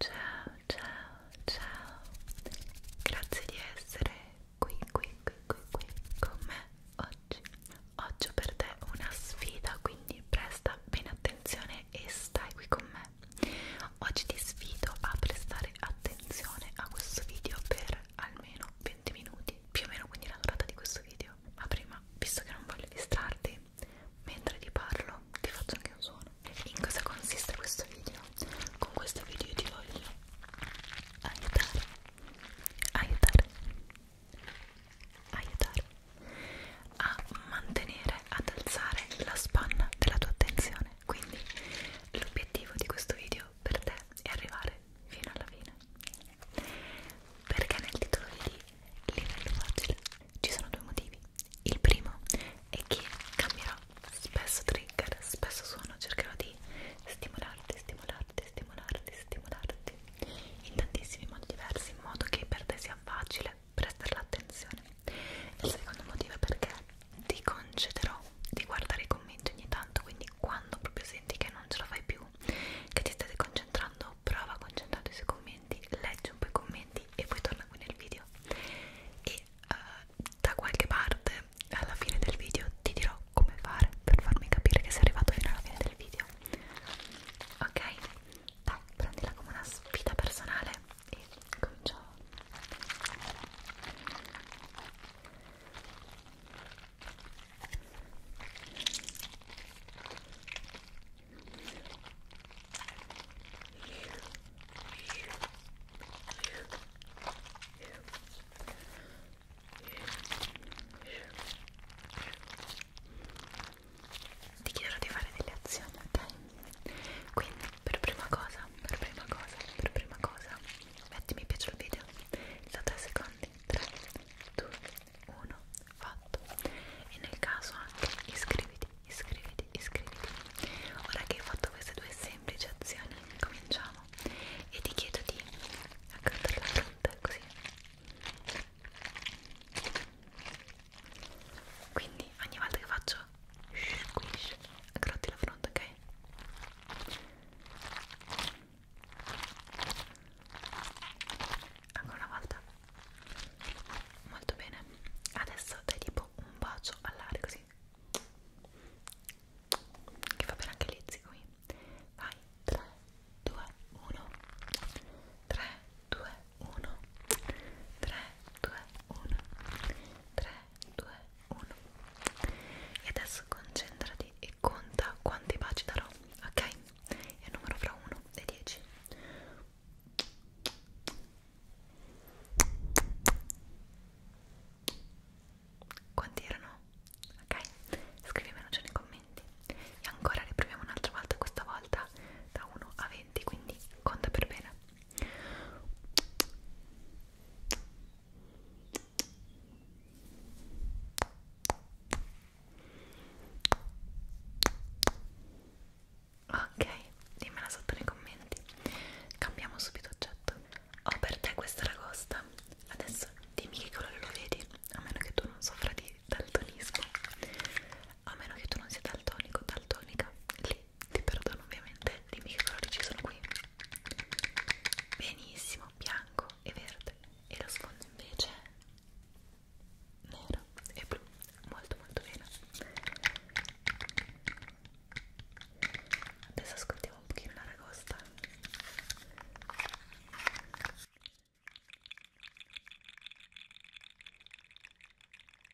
Ciao, ciao, ciao. Grazie di essere qui, qui, qui, qui, qui con me oggi. Oggi ho per te una sfida, quindi presta bene attenzione e stai qui con me. Oggi ti sfido a prestare attenzione a questo video per almeno 20 minuti, più o meno quindi la durata di questo video. Ma prima, visto che non voglio distrarti, mentre ti parlo ti faccio anche un suono. In cosa consiste questo video? Con questo video io ti voglio aiutare, aiutare, aiutare a mantenere, ad alzare la spanna della tua attenzione quindi l'obiettivo di questo video per te è arrivare fino alla fine perché nel titolo vedi livello facile ci sono due motivi il primo è che cambierò spesso trigger spesso suono cercherò di stimolarti stimolarti stimolarti stimolarti in tantissimi modi diversi in modo che per te sia facile prestare l'attenzione il secondo motivo è perché ti concederò di guardare i commenti ogni tanto quindi quando proprio senti che non ce la fai più che ti stai concentrando prova a concentrarti sui commenti leggi un po' i commenti e poi torna qui nel video e uh, da qualche parte alla fine del video ti dirò come fare per farmi capire che sei arrivato fino alla fine del video ok? dai prendila come una sfida personale e cominciamo ti chiederò di fare delle azioni ok quindi per prima cosa, per prima cosa, per prima cosa metti mi piace al video da 3 secondi 3, 2, 1, fatto e nel caso anche iscriviti, iscriviti, iscriviti ora che hai fatto queste due semplici azioni cominciamo e ti chiedo di accantare la fronte così quindi ogni volta che faccio Squish. Grotti la fronte, ok? Ancora una volta. Molto bene. Adesso dai tipo un bacio all'aria così. Che fa bene anche l'izzi qui. Vai. 3, 2, 1. 3, 2, 1. 3, 2, 1. 3, 2, 1 e adesso concentrati e conta quanti baci darò ok? è il numero fra 1 e 10 quanti erano? ok? scrivimelo già nei commenti e ancora riproviamo un'altra volta questa volta da 1 a 20 quindi conta per bene Ok, dimmela sotto nei commenti. Cambiamo subito oggetto. Ho per te questa ragosta. Adesso dimmi che colore lo vedi, a meno che tu non soffra di daltonismo. A meno che tu non sia daltonico, daltonica. Lì ti perdono ovviamente, dimmi che colori ci sono qui benissimo, bianco e verde e lo sfondo invece nero e blu molto molto bene adesso ascoltiamo un pochino la ragosta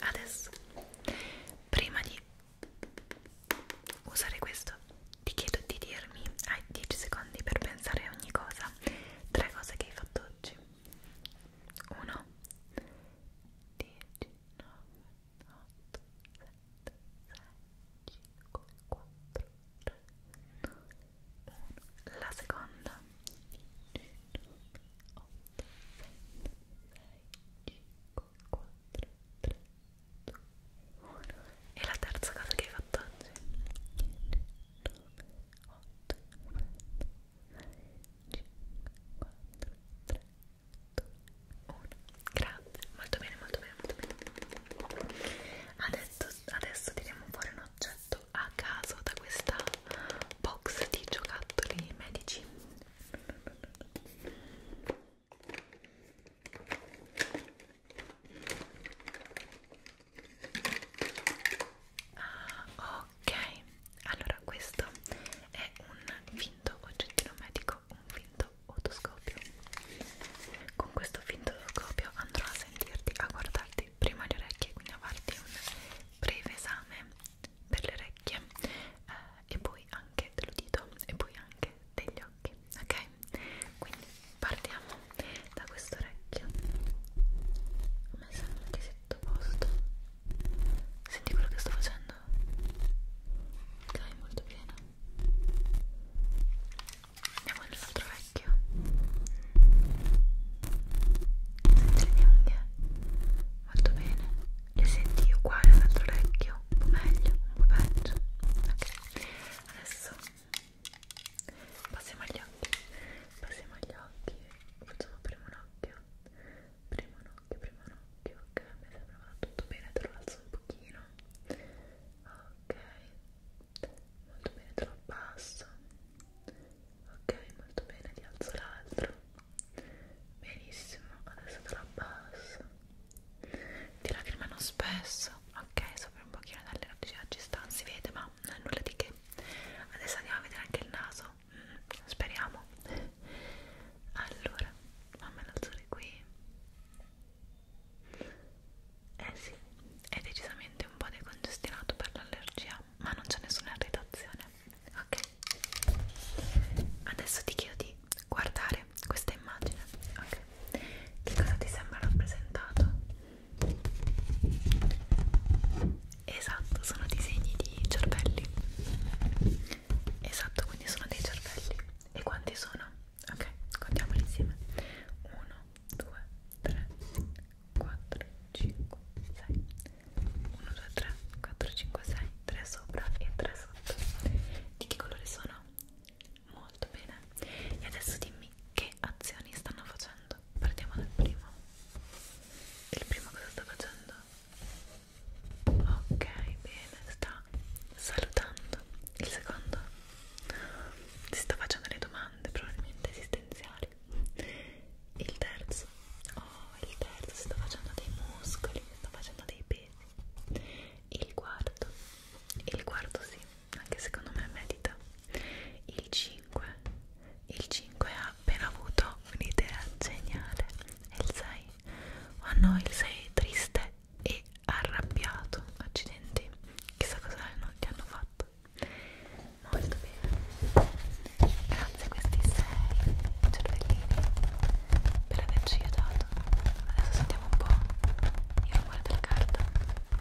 adesso prima di usare questo ti chiedo di dirmi hai 10 secondi per pensare a ogni cosa tre cose che hai fatto oggi 1 10 9 8 7 6 5 4 3 1 la seconda e la terza cosa che hai fatto oggi? 8, 5, 4, 3, 2, 1. Grazie, molto bene, molto bene, molto bene. Adesso, adesso tiriamo fuori un oggetto preso a caso da questa box di giocattoli medici ah, ok allora questo è un finto oggettino medico un finto otoscopio con questo finto otoscopio andrò a sentirti a guardarti e prima le orecchie quindi a farti un breve esame per le orecchie eh, e poi anche dell'udito e poi anche degli occhi ok quindi partiamo da questo orecchio a me sembra che sia tutto a posto senti quello che sto facendo ok molto bene andiamo nell'altro orecchio Senti le unghie? Molto bene. Le senti uguali all'altro orecchio? Un po' meglio, un po' peggio. Ok, adesso passiamo agli occhi. Passiamo agli occhi. Facciamo prima un occhio. Prima un occhio, prima un occhio. Ok, mi sembra vada tutto bene, te lo alzo un pochino. Ok, molto bene, te lo abbasso ok molto bene ti alzo l'altro benissimo adesso te la abbasso ti lacrimano spesso ok sopra un pochino dalle nocciole ci sta non si vede ma non è nulla di che adesso andiamo a vedere anche il naso mm, speriamo allora fammelo alzare qui eh sì, è decisamente un po' decongestionato per l'allergia ma non c'è nessuna redazione ok adesso ti chiedo di guardare questa immagine ok che cosa ti sembra rappresentato esatto sono disegni di cervelli esatto quindi sono dei cervelli e quanti sono ok contiamoli insieme 1 2 3 4, 5, 6 1, 2, 3, 4, 5, 6 3 sopra e 3 sotto di che colore sono? molto bene e adesso dimmi che azioni stanno facendo partiamo dal primo il primo cosa sta facendo? ok, bene, sta salutando il secondo si sta facendo le domande probabilmente esistenziali muscoli il terzo oh il terzo sto facendo dei muscoli sto facendo dei pesi il quarto il quarto sì anche secondo me medita il 5 il 5 ha appena avuto un'idea geniale e il 6 oh no il 6 è triste e arrabbiato accidenti chissà cosa non gli hanno fatto molto bene grazie a questi sei cervellini per averci aiutato adesso sentiamo un po' il rumore della carta ok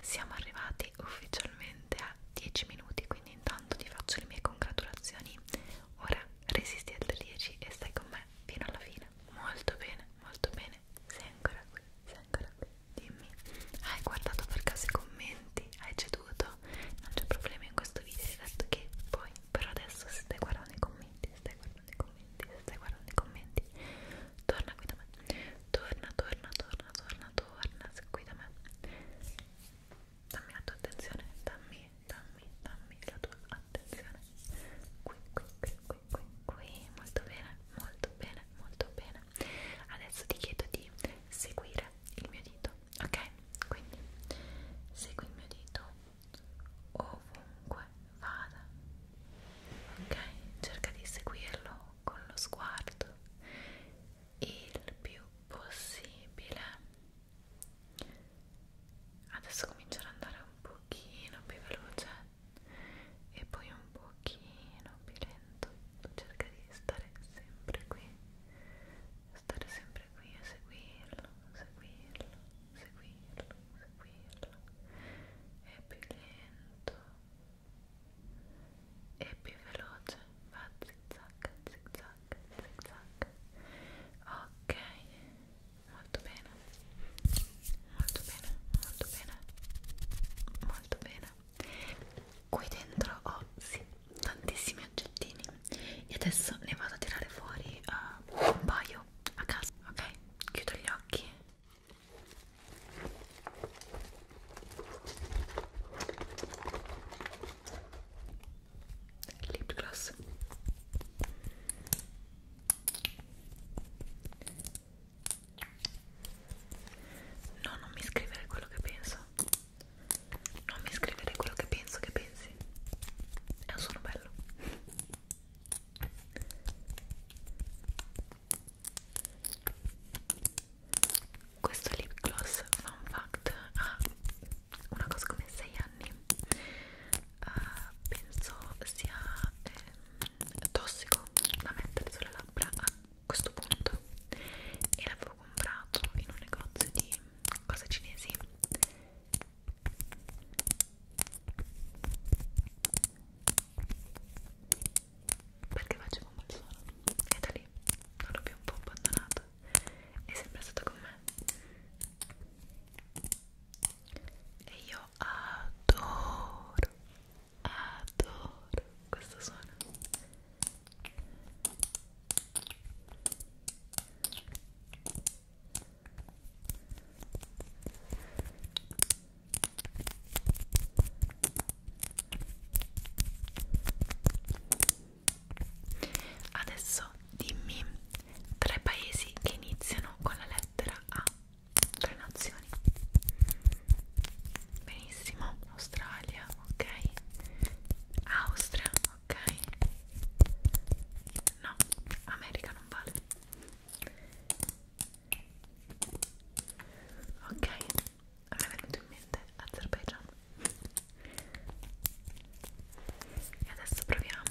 siamo arrivati ufficialmente a 10 minuti, quindi intanto ti faccio le mie congratulazioni. Ora resisti al 10 e stai con me fino alla fine. Molto bene molto bene, sei ancora qui, sei ancora qui, dimmi, hai guardato per caso i commenti, hai ceduto, non c'è problema in questo video, hai detto che poi, però adesso se stai guardando i commenti, se stai guardando i commenti, se stai guardando i commenti, torna qui da me, torna, torna, torna, torna, torna, qui da me, dammi la tua attenzione, dammi, dammi, dammi la tua attenzione, qui, qui, qui, qui qui, qui, qui, molto bene, molto bene, molto bene. Adesso ti chiedo di seguire il mio dito, ok? Quindi segui il mio dito ovunque vada, ok? Cerca di seguirlo con lo sguardo il più possibile adesso comincerò ad andare un pochino più veloce e poi un pochino più lento cerca di stare sempre qui stare sempre qui e seguirlo seguirlo seguirlo seguirlo e più lento e più veloce va zig zag zig zag zig zag ok molto bene molto bene molto bene molto bene qui dentro ho sì, tantissimi oggettini e adesso ne vado a tirare fuori uh, un paio a caso ok chiudo gli occhi lip gloss No, non mi scrivere quello che penso. Non mi scrivere quello che penso che pensi. È un suono bello. Questo lip gloss, fun fact, ha una cosa come 6 anni uh, penso sia ehm, tossico da mettere sulle labbra a questo punto e l'avevo comprato in un negozio di cose cinesi perché facevo un suono e da lì non l'ho più un po' abbandonato è sempre stato con me e io adoro adoro questo suono Adesso dimmi tre paesi che iniziano con la lettera A, tre nazioni. Benissimo, Australia, ok. Austria, ok. No, America non vale. Ok, a me è venuto in mente Azerbaijan. E adesso proviamo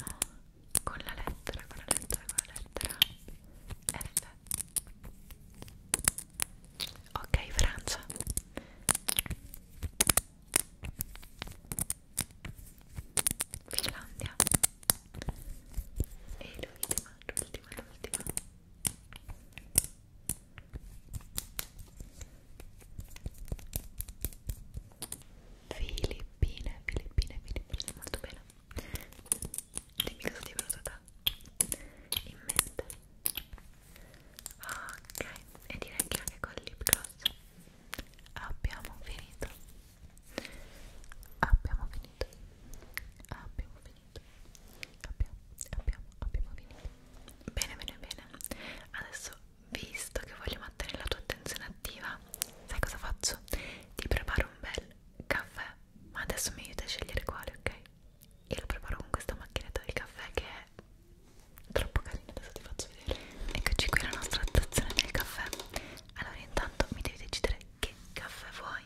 con la lettera, con la lettera, con la lettera F Ok, Francia Finlandia e l'ultima, l'ultima, l'ultima Filippine, Filippine, Filippine, molto bene. Dimmi cosa ti è venuto da in mente. Ok, e direi che anche con il lip gloss abbiamo finito. Abbiamo finito. Abbiamo finito. Abbiamo, abbiamo, abbiamo finito. Bene, bene, bene. Adesso visto che voglio mantenere la tua attenzione attiva, sai cosa faccio? Ti preparo un bel caffè, ma adesso mi aiuta a scegliere quale, ok? E lo preparo con questa macchinetta del caffè che è troppo carina, adesso ti faccio vedere. Eccoci qui la nostra attrazione del caffè. Allora, intanto mi devi decidere che caffè vuoi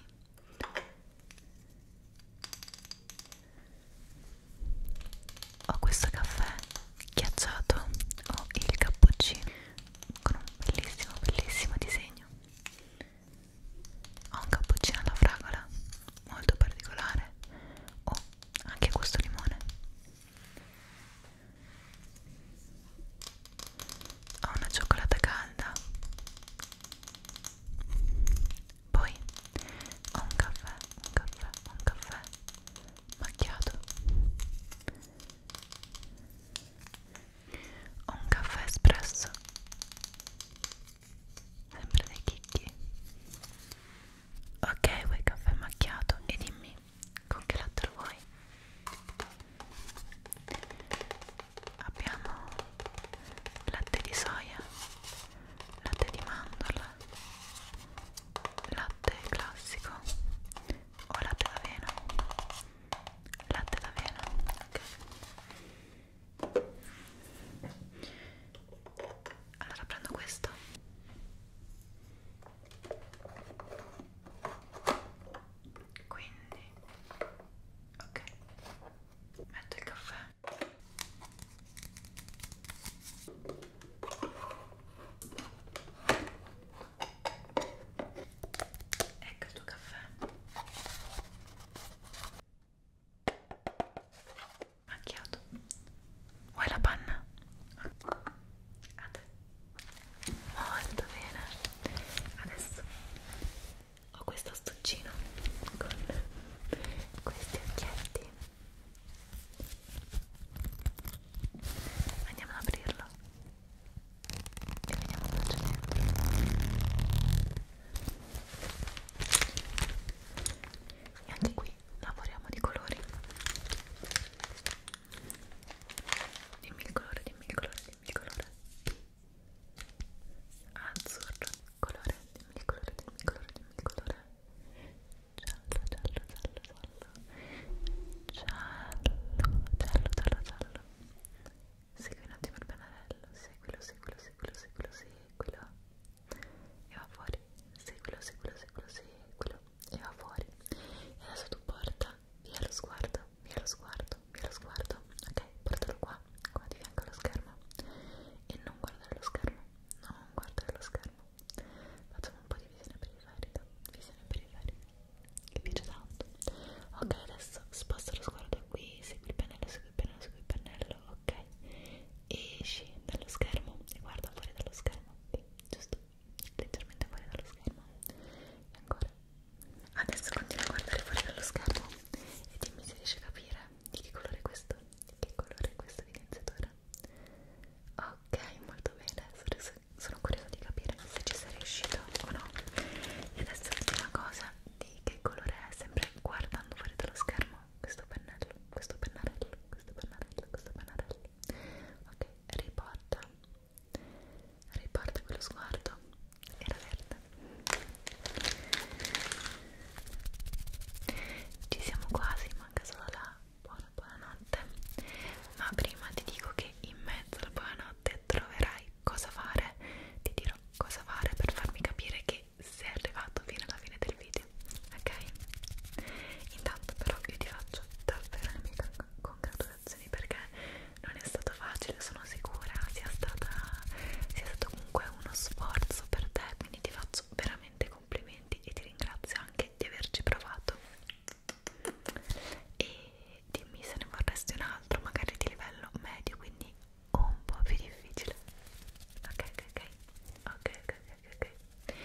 ho questo caffè ghiacciato ho il cappuccino con un bellissimo bellissimo disegno ho un cappuccino alla fragola molto particolare ho oh, anche questo limone ho una cioccolata calda poi ho un caffè un caffè un caffè macchiato ho un caffè espresso sempre dei chicchi ok vuoi caffè macchiato e dimmi con che latte lo vuoi abbiamo latte di soia latte di mandorla latte classico o latte d'avena latte d'avena ok allora prendo questo quindi ok metto il caffè Ecco il tuo caffè. Macchiato. Vuoi la panna? A te. Molto bene. Adesso ho questo astuccino con questi occhietti Andiamo ad aprirlo e vediamo cosa c'è E anche qui lavoriamo di colori. Dimmi il colore, dimmi il colore, dimmi il colore. Azzurro, colore, dimmi il colore, dimmi il colore, dimmi il colore giallo, giallo, giallo, giallo, giallo, giallo. Segui un attimo il pennarello, seguilo, seguilo, seguilo, seguilo, seguilo. E va fuori, seguilo, seguilo, seguilo, seguilo. E va fuori. E adesso tu porta via lo sguardo, via lo sguardo, via lo sguardo. Ok, portalo qua, qua di fianco allo schermo. E non guardare lo schermo, non guardare lo schermo facciamo un po' di visione periferica visione periferica che piace tanto ok adesso sposto lo sguardo qui segui il pennello segui il pennello segui il pennello ok esci dallo schermo e guarda fuori dallo schermo sì, giusto leggermente fuori dallo schermo e ancora adesso continua a guardare fuori dallo schermo e dimmi se riesci a capire di che colore è questo che colore è questo evidenziatore? Ok, molto bene. Sono curiosa di capire se ci sei riuscito o no. E adesso l'ultima cosa di che colore è, sempre guardando fuori dallo schermo. Questo pennello, questo pennarello, questo pennarello, questo pennarello. Ok, riporta. Riporta quello sguardo. Era verde. Ci siamo quasi, manca solo la buona buonanotte ma prima ti dico che in mezzo alla buonanotte troverai cosa fare ti dirò cosa fare per farmi capire che sei arrivato fino alla fine del video ok? intanto però io ti faccio davvero le mie congratulazioni perché non è stato facile sono sicura sia, stata, sia stato comunque uno sforzo per te quindi ti faccio veramente dei complimenti e ti ringrazio anche di averci provato e dimmi se ne vorresti un altro magari di livello medio quindi un po' più difficile ok ok ok ok ok ok, okay.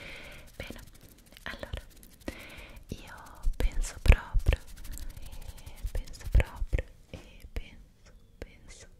bene allora io penso proprio e penso proprio e penso penso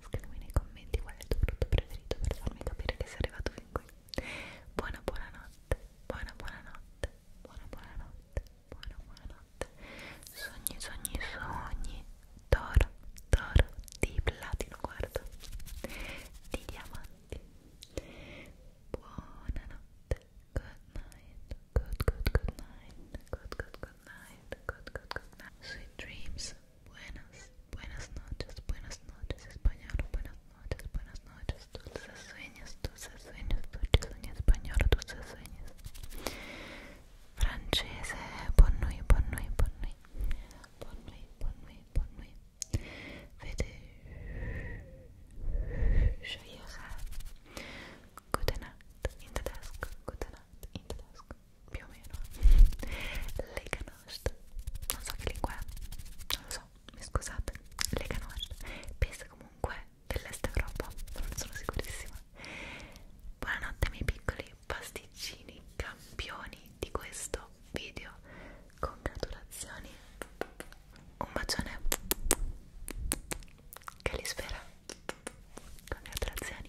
scrivimi nei commenti qual è il tuo prodotto preferito per farmi capire che sei arrivato fin qui buona buonanotte buona buonanotte buona buonanotte buona buonanotte sogni sogni sogni d'oro d'oro di platino guarda di diamanti buonanotte good night good good good night good good good night good good good night sweet dreams buenas, buenas noches, buenas noches, español, buenas noches, buenas noches, dulces sueños, dulces sueños, dulces sueños, español, dulces sueños, francese, bonne nuit, bonne nuit, bonne nuit, bonne nuit, bonne nuit, bonne nuit, Vede, Gute Nacht, in the dusk, gute Nacht, in the dusk. più o meno le canoste non so che lingua è non lo so mi scusate le canoste pesa comunque dell'est Europa non sono sicurissima buonanotte miei piccoli pasticcini campioni di questo video congratulazioni un bacione che li spera congratulazioni